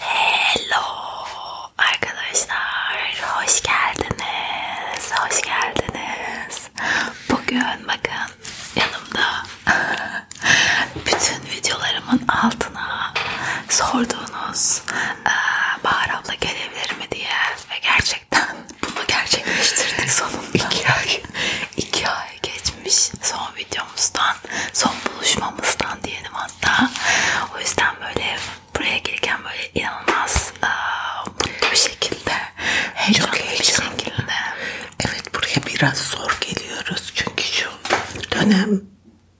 Hello arkadaşlar, hoş geldiniz, hoş geldiniz. Bugün bakın yanımda bütün videolarımın altına sorduğunuz Bahar abla gelebilir mi diye ve gerçekten bunu gerçekleştirdik sonunda. İki ay, iki ay geçmiş son video videomuzdan, son buluşmamızdan diyelim hatta. O yüzden böyle buraya gelirken böyle inanılmaz aa, mutlu bir şekilde, heyecanlı Çok bir şekilde. Evet buraya biraz zor geliyoruz çünkü şu dönem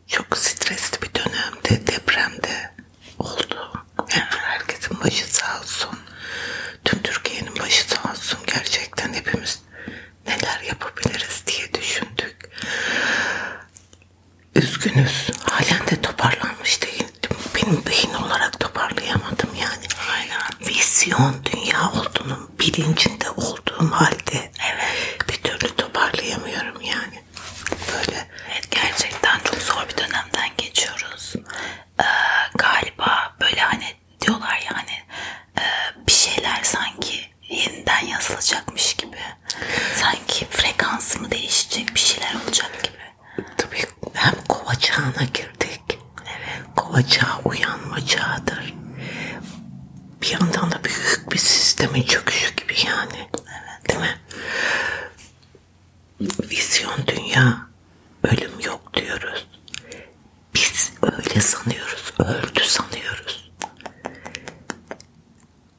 çok stresli bir dönemde, depremde oldu. Evet. Herkesin başı sağ olsun. Tüm Türkiye'nin başı sağ olsun. Gerçekten hepimiz neler yapabiliriz diye düşündük. Üzgünüz. Halen de toparlanmış değil. Benim beyin olarak toparlayamadım yani. Aynen. Vizyon dünya olduğunun bilincinde olduğum halde evet. bir türlü toparlayamıyorum yani. Böyle. Evet gerçekten çok zor bir dönemden geçiyoruz. Ee, galiba böyle hani diyorlar yani ya hani, bir şeyler sanki yeniden yazılacakmış gibi. Sanki frekansı mı değişecek bir şeyler olacak gibi. Tabii hem kova çağına girdik. Evet. Kova çağı uyanma çağıdır. Bir yandan da büyük bir sistemin çöküşü gibi yani. Evet. Değil mi? Vizyon dünya. Ölüm yok diyoruz. Biz öyle sanıyoruz. Öldü sanıyoruz.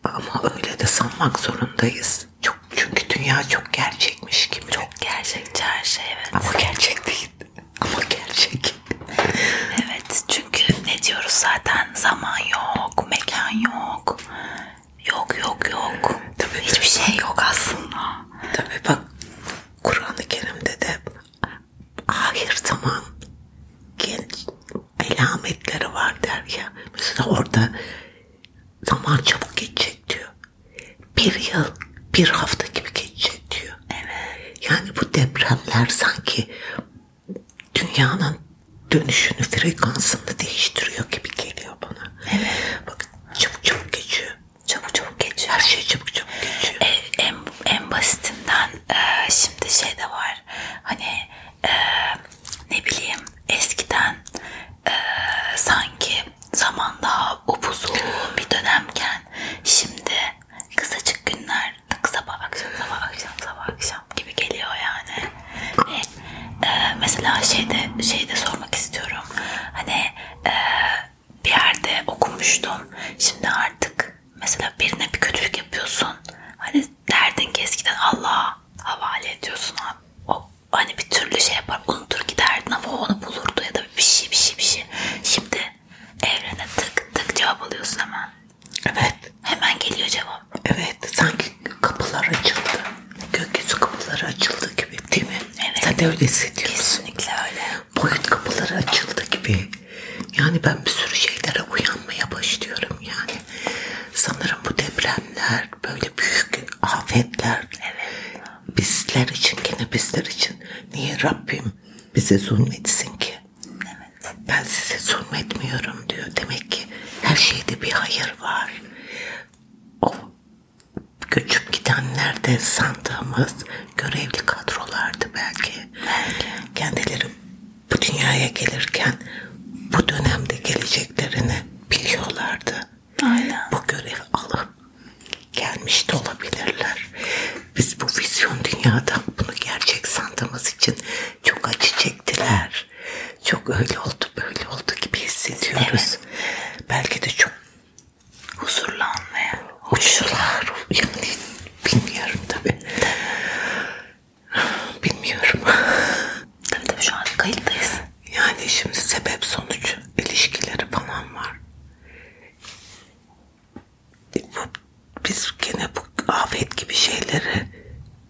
Ama öyle de sanmak zorundayız. Çok çünkü dünya çok gerçekmiş gibi. Çok gerçekçi her şey evet. Ama gerçek değil. Ama gerçek. evet çünkü ne diyoruz zaten zaman yok, mekan yok. Yok yok yok. Tabii, Hiçbir tabii. şey yok aslında. Tabii bak Kur'an-ı Kerim'de de ahir zaman genç alametleri var der ya. Mesela orada zaman çabuk geçecek diyor. Bir yıl, bir hafta gibi geçecek diyor. Evet. Yani bu depremler sanki dünyanın dönüşünü, frekansını değiştiriyor gibi geliyor bana. Evet. Bak çabuk çabuk geçiyor. Çabuk çabuk geçiyor. Her şey çabuk çabuk geçiyor. En, en, en basitinden e, şimdi şey de var hani e, ne bileyim eskiden e, sanki zaman daha upuzun bir dönemken şimdi kısacık günler tık sabah akşam sabah akşam sabah akşam gibi geliyor yani ve e, mesela şeyde şeyde sormak istiyorum hani e, bir yerde okumuştum şimdi artık mesela birine bir kötülük yapıyorsun. Hani derdin ki eskiden Allah'a havale ediyorsun. O hani bir türlü şey yapar unutur giderdin ama o onu bulurdu ya da bir şey bir şey bir şey. Şimdi evrene tık tık cevap alıyorsun hemen. Evet. Hemen geliyor cevap. Evet. Sanki kapılar açıldı. Gökyüzü kapıları açıldı gibi değil mi? Evet. Sen de öyle hissediyorsun. Kesinlikle öyle boyut kapıları açıldı gibi. Yani ben bir sürü şeylere uyanmaya başlıyorum yani. Sanırım bu depremler böyle büyük afetler evet. bizler için gene bizler için. Niye Rabbim bize zulmetsin ki? Evet. Ben size zulmetmiyorum diyor. Demek ki her şeyde bir hayır var. O göçüp gidenler de sandığımız görevli kadrolardı belki. belki. Kendileri bu dünyaya gelirken bu dönemde geleceklerini biliyorlardı. Aynen. Bu görev alıp gelmiş de olabilirler. Biz bu vizyon dünyadan bunu gerçek sandığımız için çok acı çektiler. Çok öyle oldu böyle oldu gibi hissediyoruz. Evet. Belki de çok huzurlanmaya uçtular. Yani bilmiyorum tabi. Bilmiyorum. tabi tabi şu an kayıttayız. Yani şimdi sebep sonuç ilişkileri falan var. Biz gene bu afet gibi şeyleri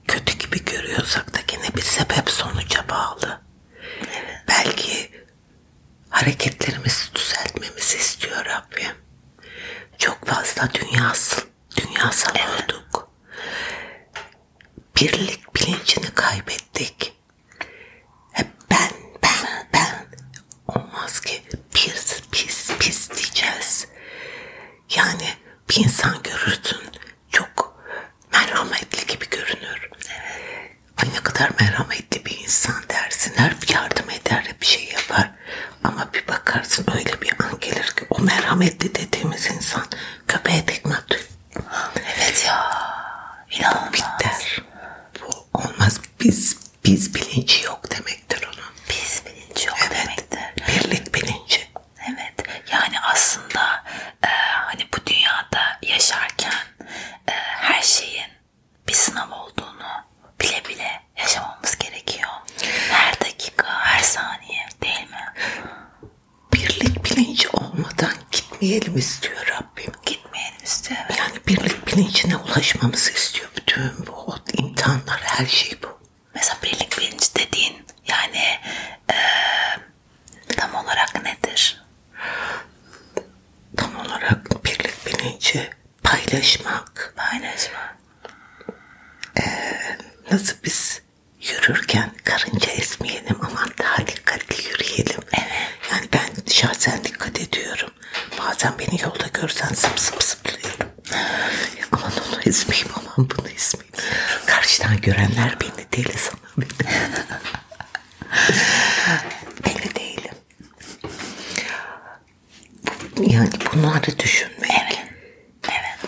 kötü gibi görüyorsak da gene bir sebep sonuca bağlı. Belki hareketlerimizi düzeltmemizi istiyor Rabbim. Çok fazla dünyasal, dünyasal evet. olduk. Birlik bilincini kaybettik. Hep ben, ben, ben. Olmaz ki pis, pis, pis diyeceğiz. Yani bir insan görürsün çok merhametli gibi görünür. Evet. Ay ne kadar merhametli bir insan dersin. Hep yardım eder, hep şey yapar var. Ama bir bakarsın öyle bir an gelir ki o merhametli dediğimiz insan köpeğe tekme atıyor. Evet ya. İnanılmaz. Bu biter. Bu olmaz. Biz biz bilinci yok demektir onun. Biz bilinci yok evet, demektir. Birlik bilinci. Evet. Yani aslında e, hani bu dünyada yaşarken e, her şeyin bir sınav olduğunu bile bile yaşamamız gerekiyor. Her dakika, her saniye değil mi? Birlik bilinci olmadan gitmeyelim istiyor Rabbim. Gitmeyelim istiyor. Evet. Yani birlik bilincine ulaşmamızı istiyor bütün bu imtihanlar, her şey bu. Mesela birlik bilinci dediğin yani e, tam olarak nedir? Tam olarak birlik bilinci paylaşmak. Paylaşmak. Ee, nasıl biz yürürken karınca esmeyelim aman daha dikkatli yürüyelim. Evet. Yani ben şahsen dikkat ediyorum. Bazen beni yolda görsen sıp sıp sıplıyorum. aman onu ezmeyeyim aman bunu ezmeyeyim. Karşıdan görenler beni deli sanır beni. deli değilim. Yani bunları düşünmek. Evet. Evet.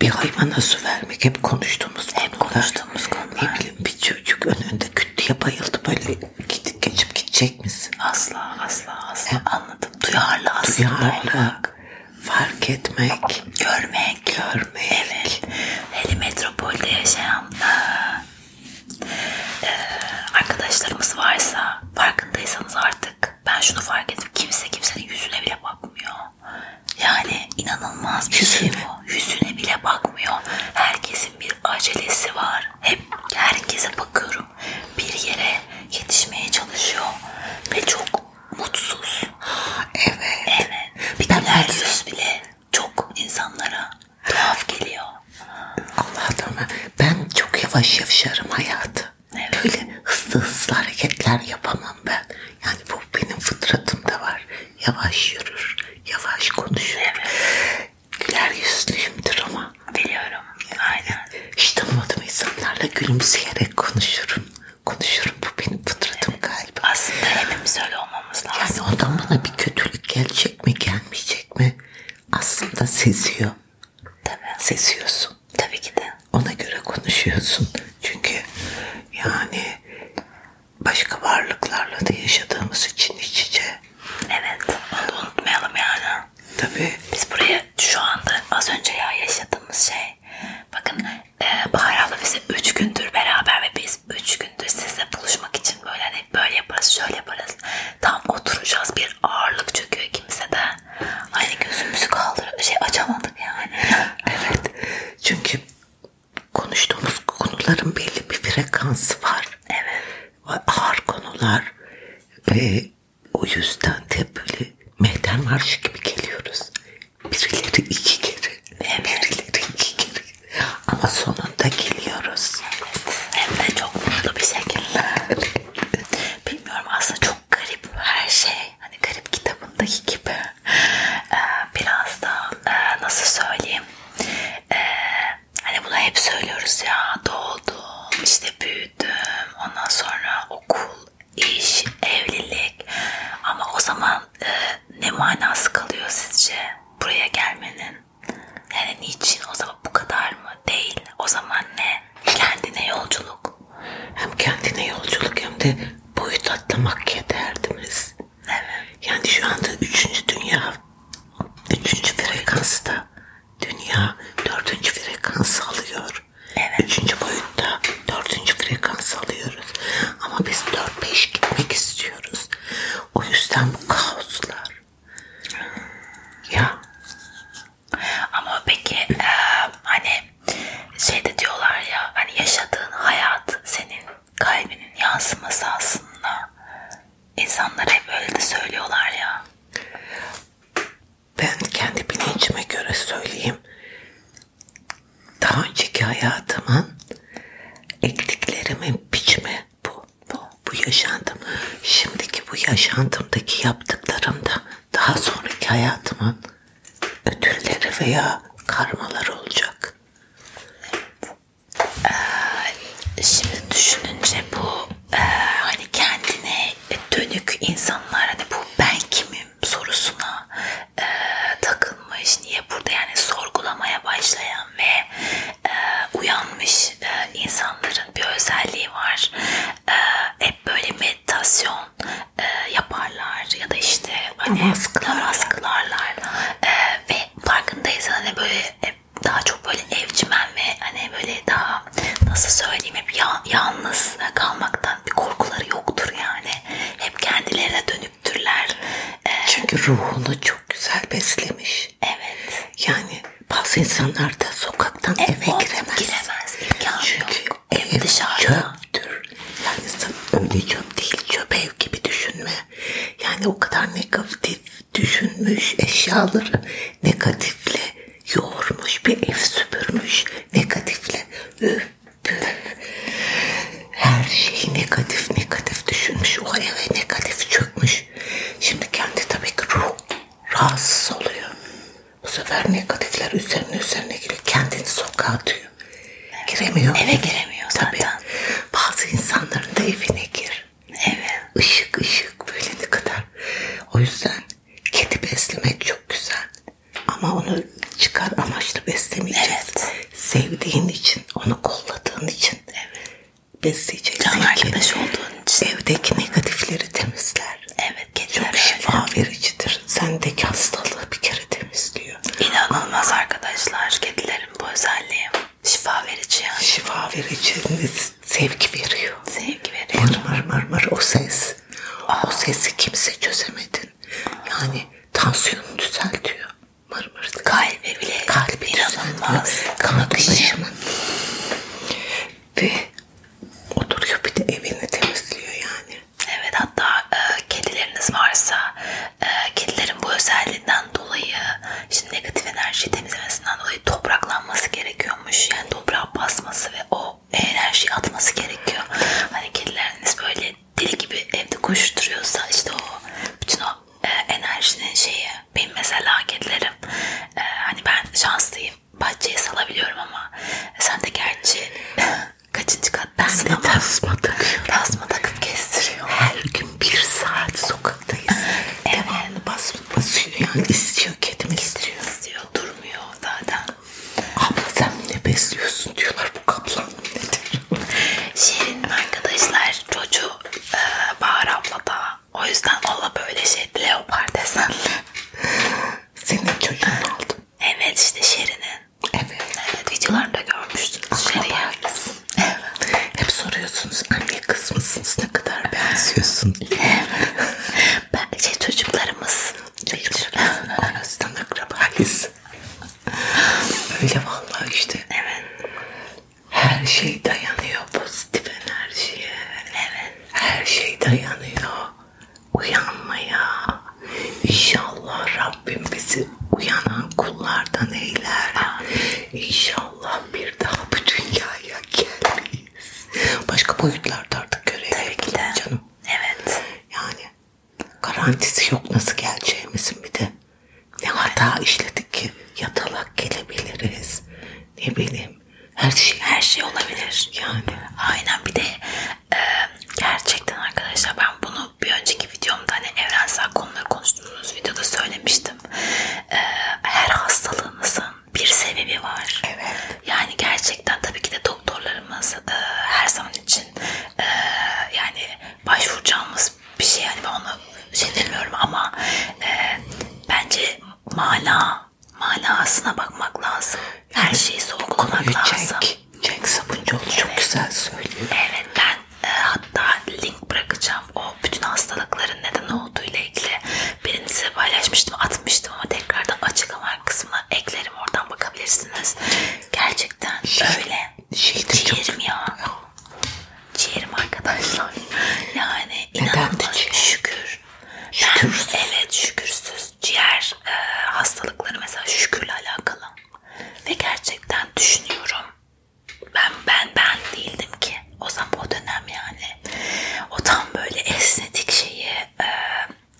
Bir hayvana su vermek hep konuştuğumuz hep konular. konuştuğumuz konular. Ne bileyim bir çocuk önünde kütlüye bayıldı böyle gidip geçip gidecek misin? Asla asla asla Hem anladım. Duyarlı aslında. Duyarlı. olmak, Fark etmek. Görmek. Görmek. Evet. Hele metropolde yaşayan eee, ıı, ee, arkadaşlarımız varsa farkındaysanız artık ben şunu fark ettim. Kimse kimsenin yüzüne bile bakmıyor. Yani inanılmaz bir şey bu. Yüzüne bile bakmıyor. Herkesin bir acelesi var. Hep herkese bakıyorum. Bir yere yetişmeye çalışıyor. Ve çok mutsuz. Evet. Evet. Bir ben yüz bile çok insanlara tuhaf geliyor. Allah'tan ben çok yavaş yavşarım hayatı. Evet. Böyle hızlı hızlı hareketler yapamam ben. Yani bu benim fıtratımda var. Yavaş yürür, yavaş konuşur. Evet. Güler yüzlüyümdür ama. Biliyorum. Yani Aynen. Hiç tanımadığım insanlarla gülümseyerek konuşurum. Konuşurum. Bu benim fıtratım evet. galiba. Aslında hepimiz öyle olmamız lazım. Yani ondan bana bir kötülük gelecek mi gelmeyecek mi? Aslında seziyor. Tabii. Sesiyorsun. Tabii ki de. Ona göre konuşuyorsun. Çünkü yani başka varlıklarla da yaşadığımız için iç içe. Evet. Onu unutmayalım yani. Tabii. Biz buraya şu anda az önce ya yaşadığımız şey. Bakın e, Bahar abla bize 3 gündür beraber ve biz 3 gündür sizle buluşmak için böyle hani böyle yaparız şöyle yaparız. Tam oturacağız bir ağırlık çöküyor ikimize de. Aynı gözümüzü kaldır şey açamadık yani. evet. Çünkü konuştuğumuz konuların belli bir frekansı var. Evet. Ağır konular ve o yüzden de böyle mehter marşı gibi geliyoruz. Birileri iki kere. Evet. Birileri iki kere. Ama sonunda geliyoruz. Hem de çok mutlu bir şekilde. Bilmiyorum aslında çok garip her şey. Hani garip kitabındaki gibi. Ee, biraz da e, nasıl söyleyeyim. Ee, hani bunu hep söylüyoruz ya. Doğdum, işte büyüdüm. Ondan sonra okul, iş, evlilik. Ama o zaman e, ne manası kalıyor sizce buraya gelmenin? Yani niçin? O zaman bu kadar mı? Değil. O zaman ne? Kendine yolculuk. Hem kendine yolculuk hem de boyut atlamak yederdimiz. Evet. Yani şu anda üçüncü dünya, üçüncü frekansta dünya dördüncü frekans alıyor. Evet. Üçüncü boyutta dördüncü frekans alıyoruz. Ama biz dört beş gitmek istiyoruz. O yüzden bu kaoslar, ya. Ama peki e, hani şey de diyorlar ya hani yaşadığın hayat senin kalbinin yansıması aslında. İnsanlar hep öyle de söylüyorlar ya. Ben kendi bilincime göre söyleyeyim. Daha önceki hayatımın ektiklerimin biçimi bu. bu bu yaşantım şimdiki bu yaşantımdaki yaptıklarımda daha sonraki hayatımın ödülleri veya karmaları olacak. Ee, şimdi düşününce bu e, hani kendine dönük insanlar hani bu ben kimim sorusuna e, takılmış niye burada yani sorgulamaya başlayan ve e, uyanmış gelmiş e, insanların bir özelliği var. E, hep böyle meditasyon e, yaparlar ya da işte hani askılarlar e, ee, ve farkındaysan hani böyle e, daha çok böyle evcimen ve hani böyle daha nasıl söyleyeyim hep ya, yalnız kalmaktan bir korkuları yoktur yani. Hep kendilerine dönüktürler. E, Çünkü ruhunu çok güzel beslemiş. Evet. Yani bazı insanlar da sokaktan e, eve giremez. Giremez. İmkan Çünkü yok. ev dışarıda. çöptür. Yani sen öyle çöp değil. Çöp ev gibi düşünme. Yani o kadar negatif düşünmüş eşyaları negatifle yoğurmuş bir ev süpürmüş negatifle. Üf. Her şeyi negatif negatif düşünmüş. O eve negatif çökmüş. Şimdi kendi tabii ki ruh rahatsız oluyor. Bu sefer negatifler üzerine üzerine giriyor. Kendini sokağa atıyor. Evet. Giremiyor. Eve giremiyor tabii. zaten. Bazı insanların da evine gir. Evet. Işık ışık böyle ne kadar. O yüzden kedi beslemek çok güzel. Ama onu çıkar amaçlı beslemeyeceğiz. Evet. Sevdiğin için, onu kolladığın için. Evet besleyeceksin Can arkadaş ki, olduğun için. Evdeki negatifleri temizler. Evet. Çok öyle. şifa vericidir. Sendeki hastalığı bir kere temizliyor. İnanılmaz Aa. arkadaşlar. Kedilerin bu özelliği. Şifa verici yani. Şifa verici. Sevgi veriyor. Sevgi veriyor. Mır mır mır mır o ses. Aa. Ah. O sesi kimse çözemedin. Yani tansiyonu düzeltiyor. Mır mır. Kalp kalbi bile kalbi inanılmaz kalkışımın ve oturuyor bir de evini temizliyor yani. Evet hatta e, kedileriniz varsa e, kedilerin bu özelliğinden dolayı şimdi negatif enerjiyi temizlemesinden dolayı topraklanması gerekiyormuş. Yani toprağa basması ve o enerjiyi atması gerekiyor. Hani kedileriniz böyle deli gibi evde koşturuyorsa işte o bütün o e, enerjinin şeyi. Benim mesela kedilerim e, hani ben şanslıyım. Bahçeye salabiliyorum ama sen de gerçi kaçıncı kattasın ama. Ben de tasma takıyorum. Tasma takıp kestiriyorum. Her gün bir saat sokaktayız. evet. Devamlı bas, basıyor yani istiyor kedimi istiyor. istiyor. Durmuyor zaten. Abla sen ne besliyorsun diyorlar bu kaplan nedir? Şirin arkadaşlar çocuğu e, Bahar abla da o yüzden ola böyle şey leopar desenli. Senin çocuğun aldım. Evet işte Şerin'in. Evet. Evet videolarında görmüştünüz Şerin'i. Evet. Hep soruyorsunuz anne kız mısınız ne kadar benziyorsun diye. Evet. ben, şey, çocuklarımız. Çocuklarımız arasından akrabayız. Öyle vallahi işte. Evet. Her şey dayanıyor pozitif enerjiye. Evet. Her şey dayanıyor uyanmaya. İnşallah Rabbim bizi uyanan kullardan eyler. İnşallah bir daha bu dünyaya gelmeyiz. Başka boyutlarda artık görev canım. Evet. Yani garantisi yok nasıl geleceğimizin bir de. Ne hata işledik ki yatalak gelebiliriz. Ne bileyim her şey her şey olabilir. Yani aynen bir de e, gerçekten arkadaşlar ben bunu bir önceki videomda hani evrensel konuları konuştuğumuz videoda söylemiştim. E, her hastalığınızın bir sebebi var. Evet. Yani gerçekten tabii ki de doktorlarımız e, her zaman için e, yani başvuracağımız tarz bir şey yani ben onu şey demiyorum ama e, bence mana manasına bakmak lazım. Her şeyi sorgulamak Konuyu lazım. Jack, Jack Sabuncuoğlu evet. çok güzel söylüyor. Evet ben e, hatta link bırakacağım o bütün hastalıkların neden olduğu ile ilgili birini size paylaşmıştım atmıştım ama tekrardan açıklama kısmına eklerim oradan bakabilirsiniz. Gerçekten şey, öyle. Şey de çok... ya ciğerim arkadaşlar. Yani inanılmaz şükür. Şükürsüz. Ben, evet şükürsüz. Ciğer e, hastalıkları mesela şükürle alakalı. Ve gerçekten düşünüyorum. Ben ben ben değildim ki. O zaman o dönem yani. O tam böyle esnetik şeyi e,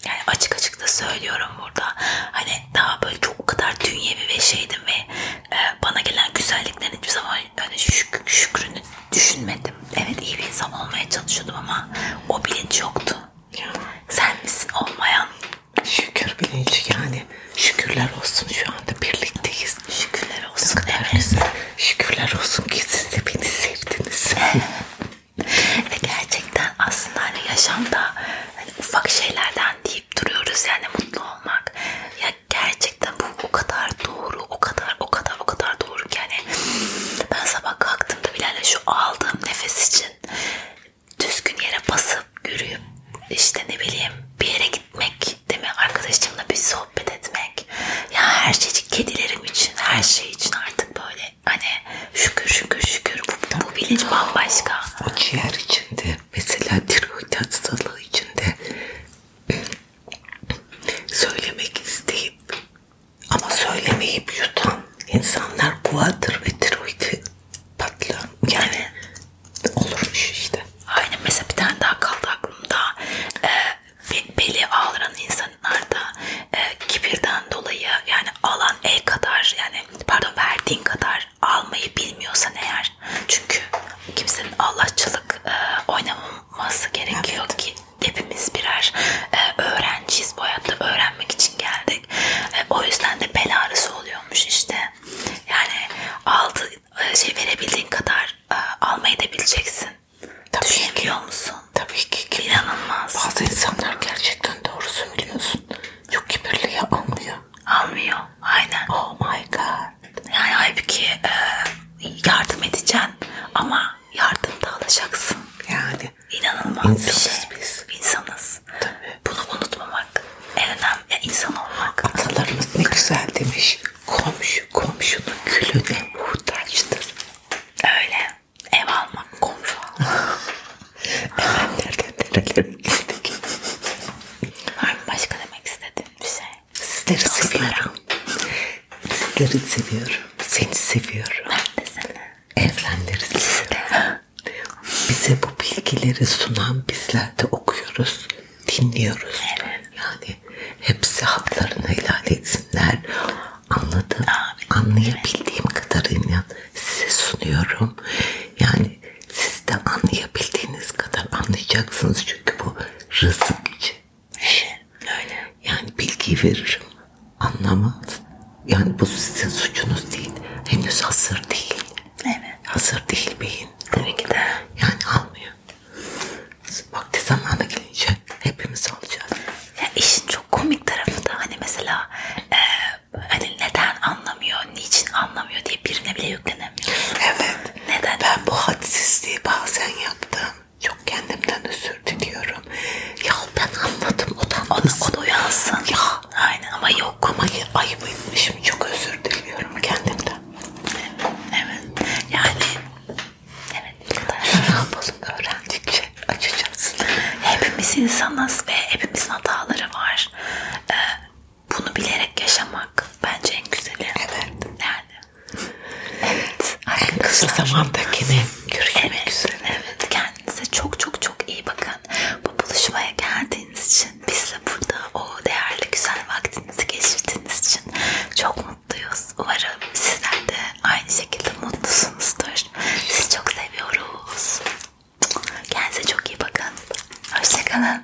yani açık açık da söylüyorum burada. Hani daha böyle çok o kadar dünyevi ve şeydim ve e, bana gelen güzelliklerin hiçbir zaman Ay ben şük Şükrü'nü düşünmedim. Evet iyi bir insan olmaya çalışıyordum ama o bilinç yoktu. Ya. Sen misin olmayan? Şükür bilinci yani. Şükürler olsun şu anda birlikteyiz. Şükürler olsun. Evet. Güzel. Şükürler olsun ki siz de beni sevdiniz. Ve gerçekten aslında hani yaşamda hani ufak şeylerden deyip duruyoruz yani mutlu olmak. Ya Gerçekten bu o kadar doğru, o kadar, o kadar, o kadar doğru ki yani ben sabah kalktığımda Bilal'le şu aldığım nefes için düzgün yere basıp yürüyüp işte ne bileyim bir yere gitmek değil mi? Arkadaşımla bir sohbet etmek. Ya her şey için, kedilerim için, her şey için artık böyle hani şükür şükür şükür bu, bu bilinç bambaşka. O ciğer içinde mesela tiroid hastalığı içinde söylemek isteyip ama söylemeyip yutan insanlar boğadır ve tiroidi patlar. Yani olurmuş işte. Aynen mesela bir tane daha kaldı aklımda. Ee, beli ağlayan insanlarda e, kibirden dolayı yani alan el kadar yani pardon verdiğin kadar almayı bilmiyorsan eğer var. Çünkü kimsenin Allahçılık e, oynamaması gerekiyor evet. ki hepimiz birer e, öğrenciyiz. Bu hayatta öğrenmek için geldik. E, o yüzden de bel ağrısı oluyormuş işte. Yani aldı e, şey verebildiğin kadar e, almayı da bileceksin. Tabii Düşünebiliyor ki. musun? Tabii ki. ki. İnanılmaz. Bazı insanlar gerçekten doğrusu biliyorsun. Çok kibirli ya almıyor. Almıyor. Aynen. Oh my god. Yani halbuki e, yardım edeceksin ama yardımda alacaksın. Yani. İnanılmaz insanız bir şey. biz. İnsanız. Tabii. Bunu unutmamak. En önemli yani insan olmak. Atalarımız ne güzel demiş. Komşu komşunun külüne muhtaçtır. Öyle. Ev almak komşu almak. Hemen nereden nerelere Var mı başka demek istediğin bir şey? Sizleri Dostlarım. seviyorum. Sizleri seviyorum. Seni seviyorum. Ben de seni. Evrenleri seviyorum. Bize bu bilgileri sunan bizler de okuyoruz, dinliyoruz. Evet. Yani hepsi haklarını helal etsinler. Anladım. Amin. Anlayabildiğim kadarıyla size sunuyorum. Yani siz de anlayabildiğiniz kadar anlayacaksınız çünkü bu rızık için. Şey, öyle. Yani bilgiyi veririm. Anlamaz. Yani bu sizin suçunuz değil. Henüz hazır değil. Evet. Hazır değil beyin. Tabii ki de. Yani almıyor. Vakti zamanı gelince hepimiz alacağız. Ya işin çok komik tarafı da hani mesela e, hani neden anlamıyor, niçin anlamıyor diye birine bile yüklenemiyor. Evet. Neden? Ben bu hadsizliği bazen yaptım. Çok kendimden özür diliyorum. Ya ben anladım o da onu, onu uyansın. Ya. Aynen ama yok. Ama ayıbıymışım. Çok özür diliyorum kendimden. Evet. Yani evet. Ne yapalım öğrendikçe açacağız. Hepimiz insanız ve hepimizin hataları var. Ee, bunu bilerek yaşamak bence en güzeli. Evet. Yani. evet. En kısa zamandakini görüşmek evet, üzere. Evet. Kendinize çok çok çok iyi bakın. Bu buluşmaya geldiğiniz için bizle burada o değerli güzel vaktinizi geçirdiğiniz için çok mutluyuz. Umarım sizler de aynı şekilde mutlusunuzdur. Sizi çok seviyoruz. Kendinize çok iyi bakın. Hoşçakalın.